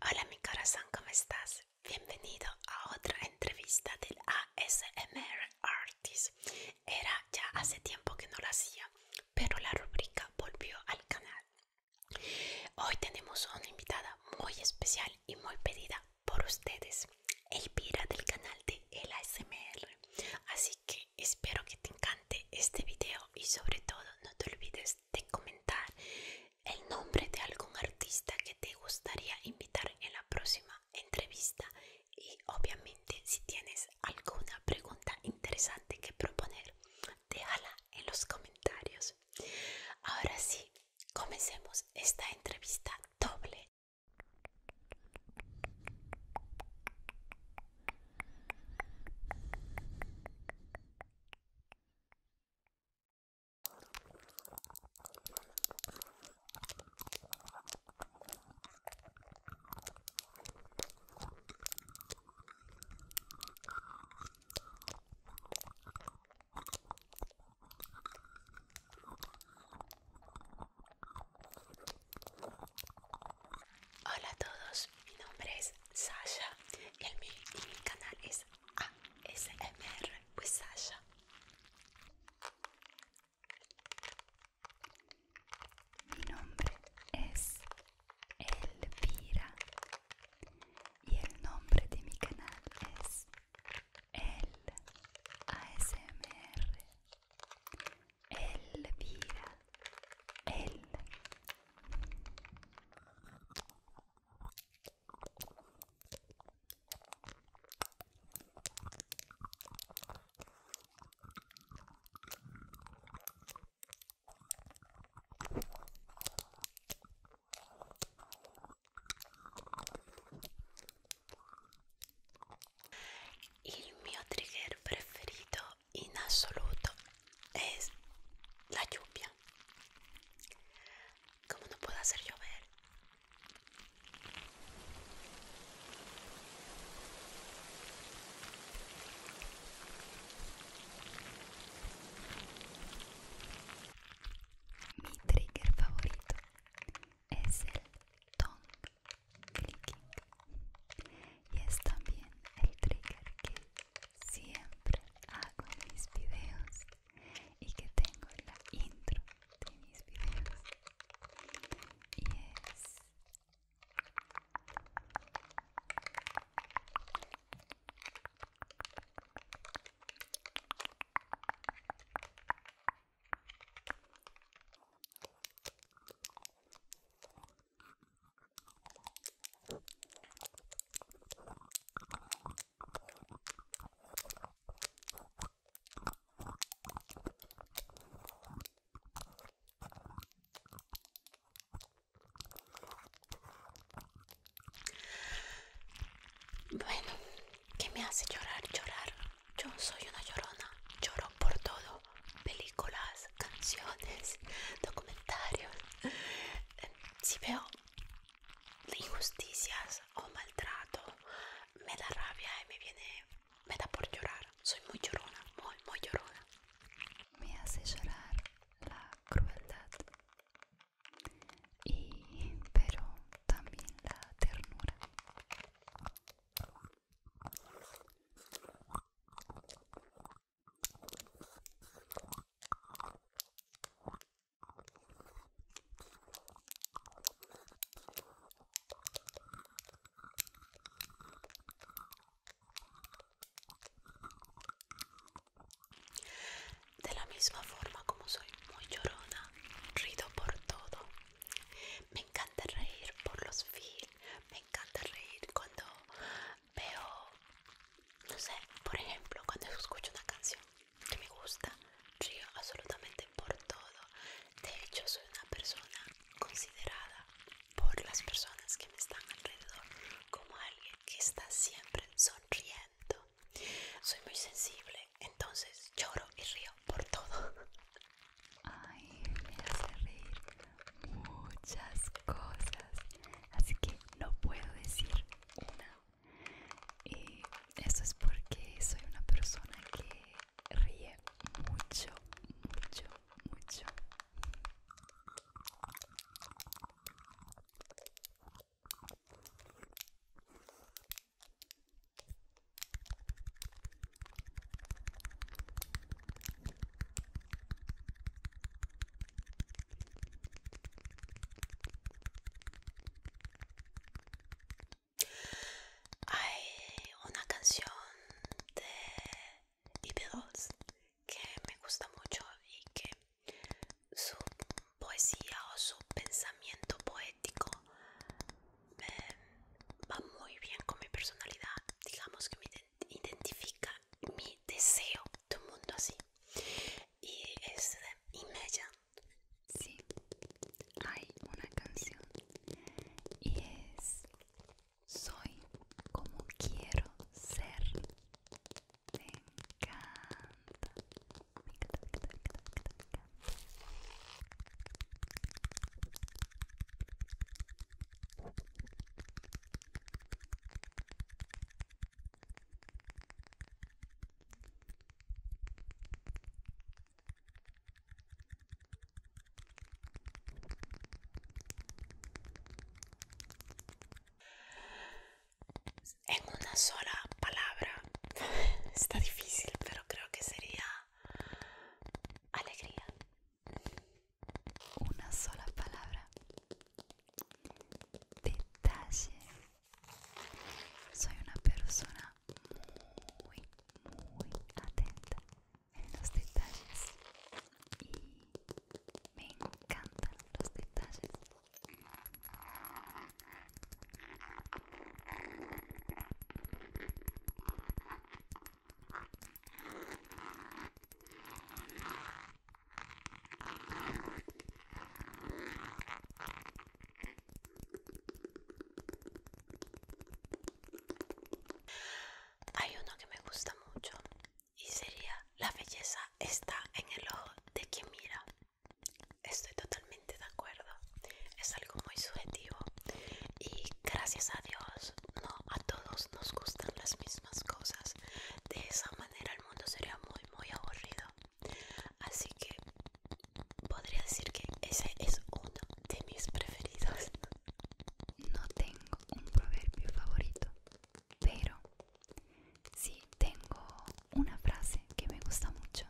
Hola mi corazón, ¿cómo estás? Bienvenido a otra entrevista del ASMR Artist. Era ya hace tiempo que no la hacía, pero la rubrica volvió al canal. Hoy tenemos una invitada muy especial y muy pedida por ustedes, Elvira del canal de El ASMR. Así que espero que te encante este video y sobre todo no te olvides de comentar el nombre de algún artista que te gustaría invitar en la próxima entrevista y obviamente si tienes alguna pregunta interesante que proponer, déjala en los comentarios. Ahora sí, comencemos esta entrevista doble. Hola a todos, mi nombre es Sasha e il mio, il mio canale è ASMR with Sasha mi nombre es Elvira y el nombre de mi canal es El ASMR Elvira el el mi trigger preferido in en absoluto es la lluvia. como no puedo hacer llover? Mi trigger favorito es el tongue clicking y es también el trigger que siempre hago mis videos y que tengo la intro de mis videos y es bueno, ¿qué me hace llorar? Llorar. Yo soy una llorona. Lloro por todo. Películas, canciones, documentarios, em, si veo injusticias o maltrato, me da rabia y me viene, me da por llorar. Soy muy llorona, muy, muy llorona. Me hace llorar la crueldad y pero también la ternura. De la misma forma como soy muy llorona, rido por todo. Me encanta reír por los feels, me encanta reír cuando pero, no sé, por ejemplo, cuando escucho una canción que me gusta, río absolutamente por todo. De hecho, soy una persona considerada por las personas que me están alrededor como alguien que está siempre sonriendo. Soy muy sensible, entonces lloro y río por todo. Ay, me hace muchas cosas así que no puedo decir una y eso es porque soy una persona que ríe mucho mucho mucho hay una canción de The que me gusta mucho y que su poesía o su pensamiento poético eh, va muy bien con mi personalidad. Digamos que mi identifica mi deseo de mundo así y es de si sí hay una canción y es soy como quiero ser encanta. En una sola palabra está difícil, pero creo que sería alegría una sola palabra. Detalle. Soy una persona muy, muy atenta en los detalles. Y me encantan los detalles. Hay uno que me gusta mucho y sería la belleza está en el ojo de quien mira. Estoy totalmente de acuerdo. Es algo muy subjetivo y gracias a Dios no a todos nos gustan las mismas cosas. De esa manera el mundo sería muy, muy aburrido. Así que podría decir que ese es uno de mis preferidos. No tengo un proverbio favorito, pero sí tengo una frase que me gusta mucho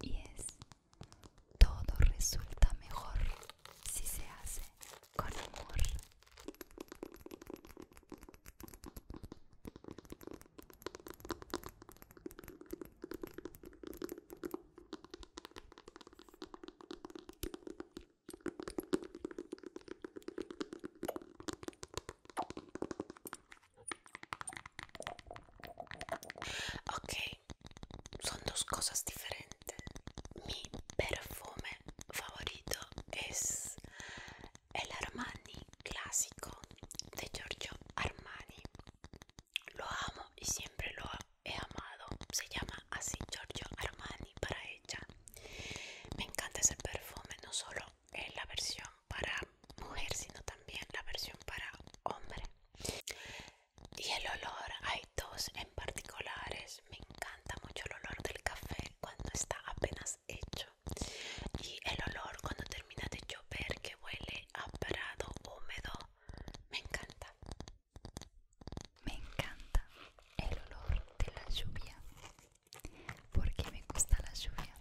y es todo resulta mejor si se hace con amor. Okay, son dos cosas diferentes. Mi perfume favorito es el Armani clásico de Giorgio Armani. Lo amo y siempre lo he amado. Se llama así Giorgio Armani para ella. Me encanta ese perfume, no solo en la versión para mujer, sino también la versión para hombre y el olor hay dos en particulares me encanta mucho el olor del café cuando está apenas hecho y el olor cuando termina de llover que huele a húmedo me encanta me encanta el olor de la lluvia porque me gusta la lluvia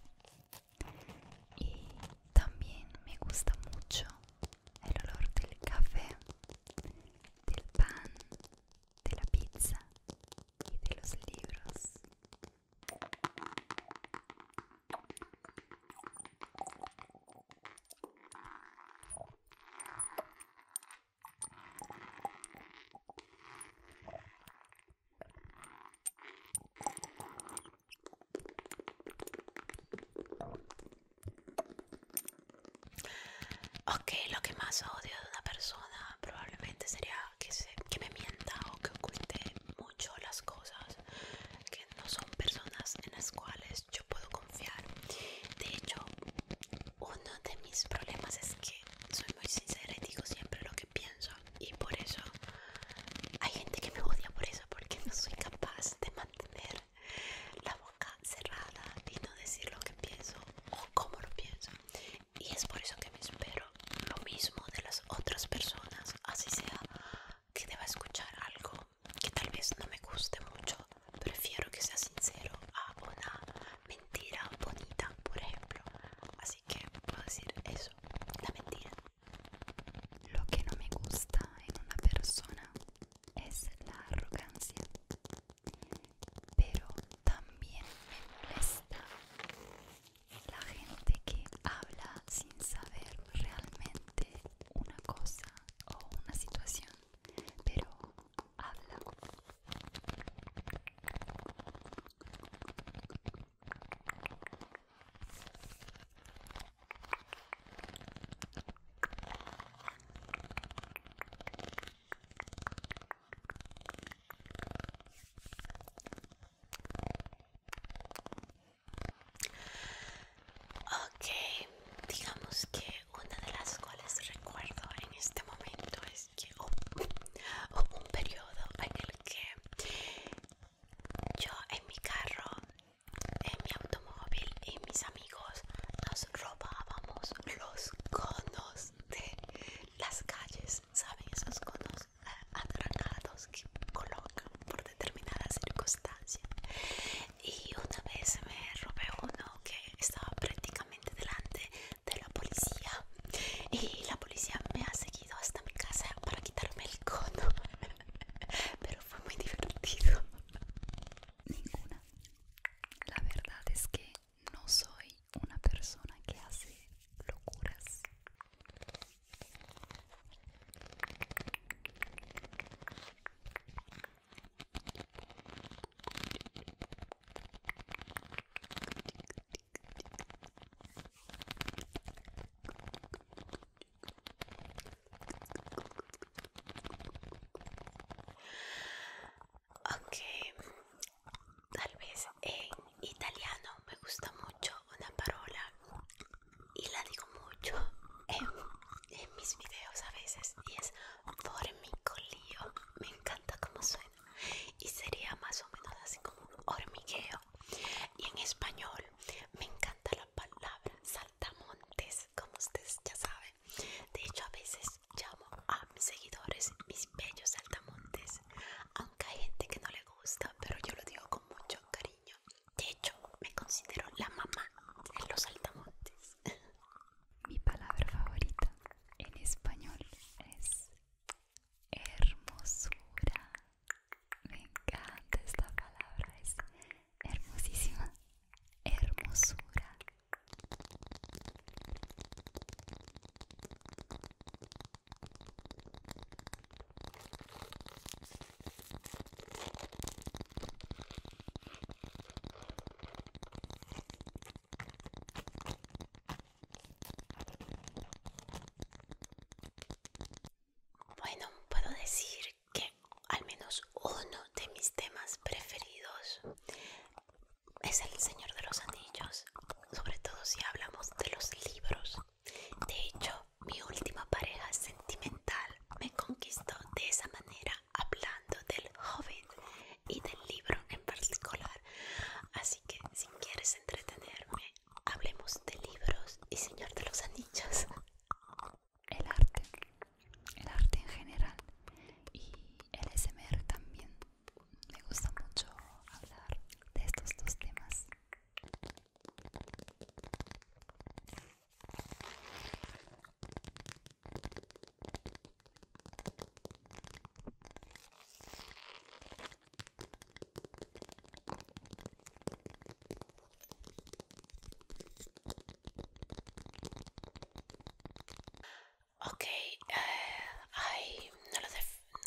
y también me gusta mucho el olor del café, del pan, de la pizza y de los libros. Ok, lo que más odio de una persona probablemente sería que, me mienta o que oculte mucho las cosas, que no son personas en las cuales yo puedo confiar. De hecho, uno de mis problemas es que soy muy sincera y digo siempre lo que pienso y por eso hay gente que me odia por eso, porque no soy capaz de mantener la voz cerrada y no decir lo que pienso o cómo lo pienso. Y es por eso que me espero lo mismo de las otras personas, así sea que deba escuchar algo que tal vez no me guste mucho. Prefiero que sea sincero a una mentira bonita, por ejemplo. Así que puedo decir eso, la mentira. Lo que no me gusta en una persona es la arrogancia, pero también me molesta la gente que habla sin saber realmente una cosa o una situación, pero habla. Okay, digamos que una de las cuales recuerdo en este momento es que hubo un periodo en el que yo en mi carro en mi automóvil y mis amigos nos robábamos los conos de las calles, ¿saben? Esos conos eh, atrancados que colocan por determinadas circunstancias. Y una vez me robé uno que estaba prácticamente delante de la policía y la policía me ha seguido hasta mi casa para quitarme el cono pero fue muy divertido ninguna. La verdad es que no soy una persona que hace locuras. Ok, tal vez en italiano me gusta mucho una palabra y la digo mucho en, mis videos a veces y es formicolio, me encanta cómo suena y sería más o menos así como un hormigueo y en español me encanta la palabra saltamontes, como ustedes ya saben. De hecho, a veces llamo a mis seguidores mis bellos saltamontes, aunque hay gente que no le gusta, pero yo lo digo con mucho cariño. De hecho, me considero la mamá de los saltamontes. Mi palabra favorita en español es hermosura. Me encanta esta palabra, es hermosísima hermosura. Bueno, puedo decir que al menos uno de mis temas preferidos es el Señor de los Anillos, sobre todo si hablamos de los libros. De hecho, mi última pareja sentimental me conquistó de esa manera hablando del Hobbit y del libro en particular. Así que si quieres entretenerme, hablemos de libros y Señor de los Anillos. el arte, el arte en general y el SMR también. Me gusta mucho hablar de estos dos temas. Ok, eh,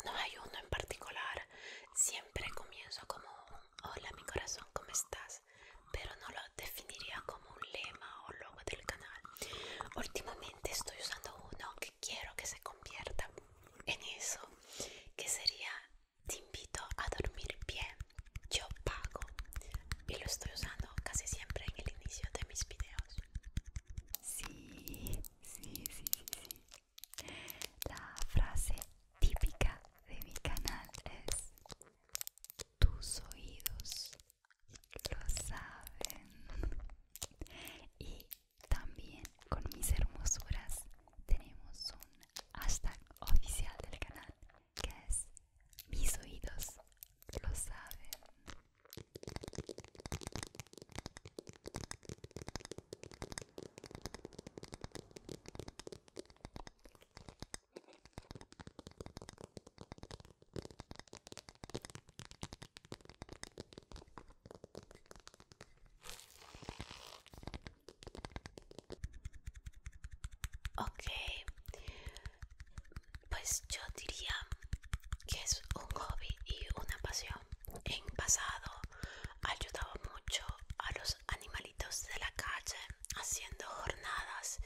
no, hay uno en particular. Siempre comienzo como hola mi corazón, ¿cómo estás? Pero no lo definiría como un lema o logo del canal. Últimamente estoy usando uno que quiero que se convierta en eso, que sería te invito a dormir bien, yo pago y lo estoy usando casi siempre en el inicio de mis videos. Sí, sí, sí, sí, La frase típica de mi canal es tus oídos lo saben y también con mis hermosuras tenemos un hashtag oficial del canal que es mis oídos lo saben Ok, pues yo diría que es un hobby y una pasión. En pasado ayudaba mucho a los animalitos de la calle haciendo jornadas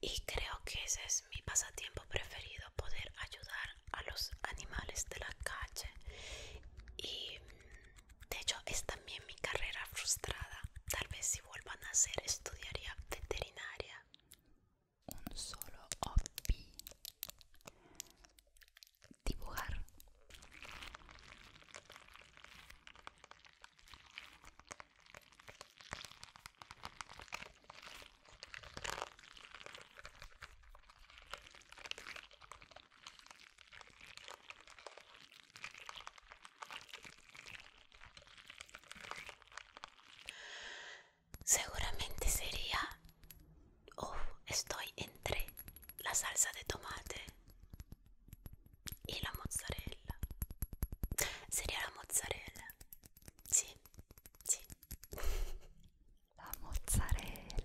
y creo que ese es mi pasatiempo preferido, poder ayudar a los animales de la calle y de hecho, es también mi carrera frustrada. Tal vez si vuelvan a hacer, estudiaría veterinaria. Un solo hobby. Dibujar. Seguramente sería... Oh, estoy entre la salsa de tomate y la mozzarella. Sería la mozzarella. Sí, sí. La mozzarella.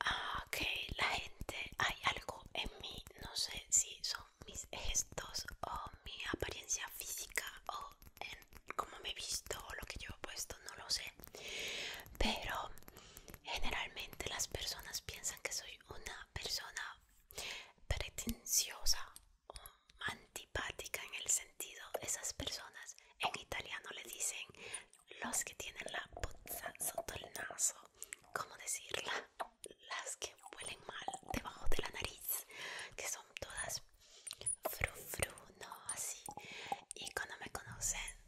Ah, la gente, hay algo en mí, no sé si son mis gestos o mi apariencia física o cómo me he visto o lo que yo he puesto, no lo sé. Pero generalmente las personas piensan que soy una persona pretenciosa o antipática en el sentido, esas personas en italiano le dicen los que tienen la puza sotto el naso, ¿cómo decirla? Las que huelen mal debajo de la nariz, que son todas fru fru, no así. Y cuando me conocen,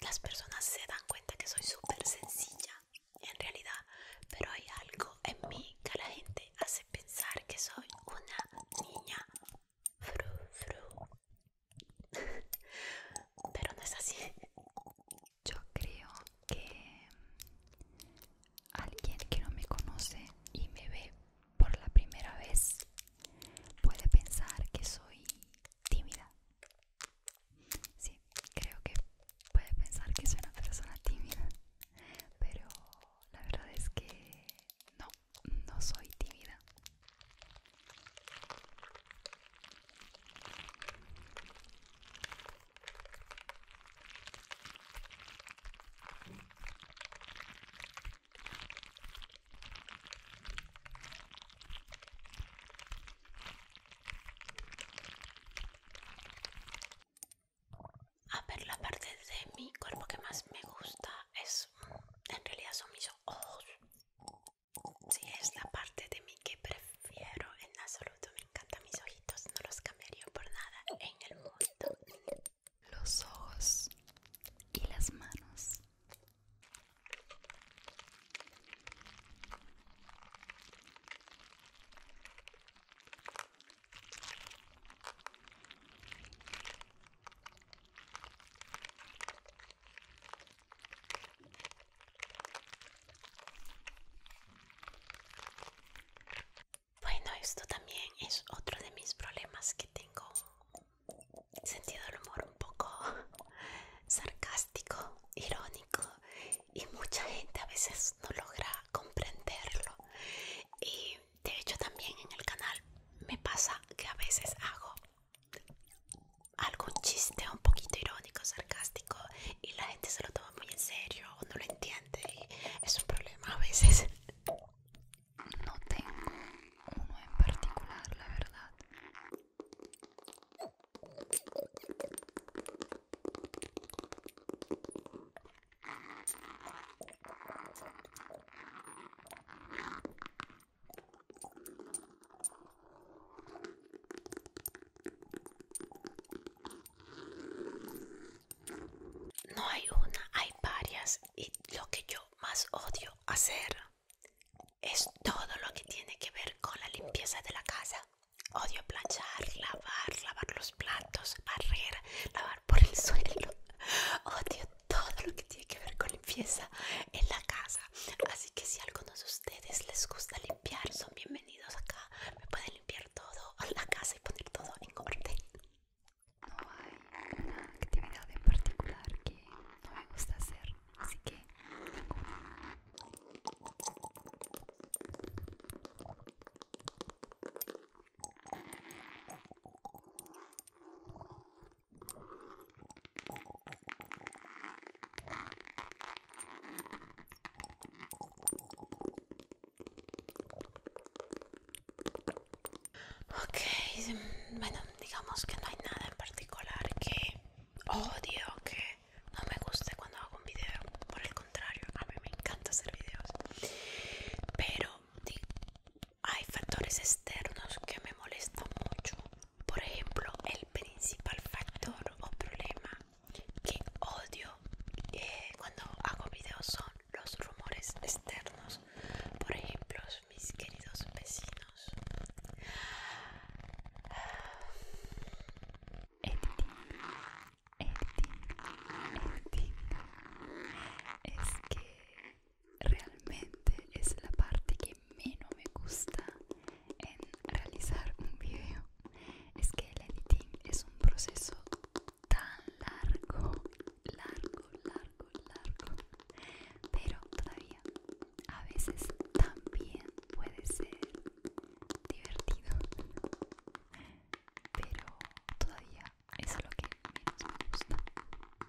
las personas se dan cuenta que soy súper sencilla en realidad, pero hay algo en mí que la gente hace pensar que soy una niña fru fru pero no es así. Yo creo que alguien que no me conoce y me ve por la primera vez puede pensar que soy tímida. Sí, creo que puede pensar que soy una persona tímida, pero la verdad es que no, no soy tímida. A ver, la parte de mi cuerpo que más me gusta es, en realidad son mis ojos. Si es la parte de mí que prefiero en absoluto. Me encantan mis ojitos, no los cambiaría por nada en el mundo. Los ojos y las manos. Bueno, esto también es otro de mis problemas que tengo. Sentido del humor un poco sarcástico, irónico y mucha gente a veces no logra comprenderlo. Y de hecho también en el canal me pasa que a veces hago algún chiste un poquito irónico, sarcástico y la gente se lo toma muy en serio o no lo entiende y es un problema a veces. No tengo uno en particular, la verdad. No hay una, hay varias y lo que yo más odio hacer es todo lo que tiene que ver con la limpieza de la casa. Odio planchar, lavar, lavar los platos, barrer, lavar por el suelo. Odio todo lo que tiene que ver con limpieza en la casa. Así que si a algunos de ustedes les gusta limpiar, son bienvenidos acá. Me pueden limpiar todo a la casa y poner todo en orden. No hay una actividad en particular que no me gusta hacer, así que Ok, bueno, digamos que no hay nada en particular que odio, que no me guste cuando hago un video. Por el contrario, a mí me encanta hacer videos. Pero hay factores externos que me molestan mucho. Por ejemplo, el principal factor o problema que odio eh, cuando hago videos son los rumores externos. Por ejemplo, mis queridos vecinos. Editing, editing, editing. Es que realmente es la parte que menos me gusta en realizar un video es que el editing es un proceso tan largo largo largo largo pero todavía a veces también puede ser divertido pero todavía es lo que menos me gusta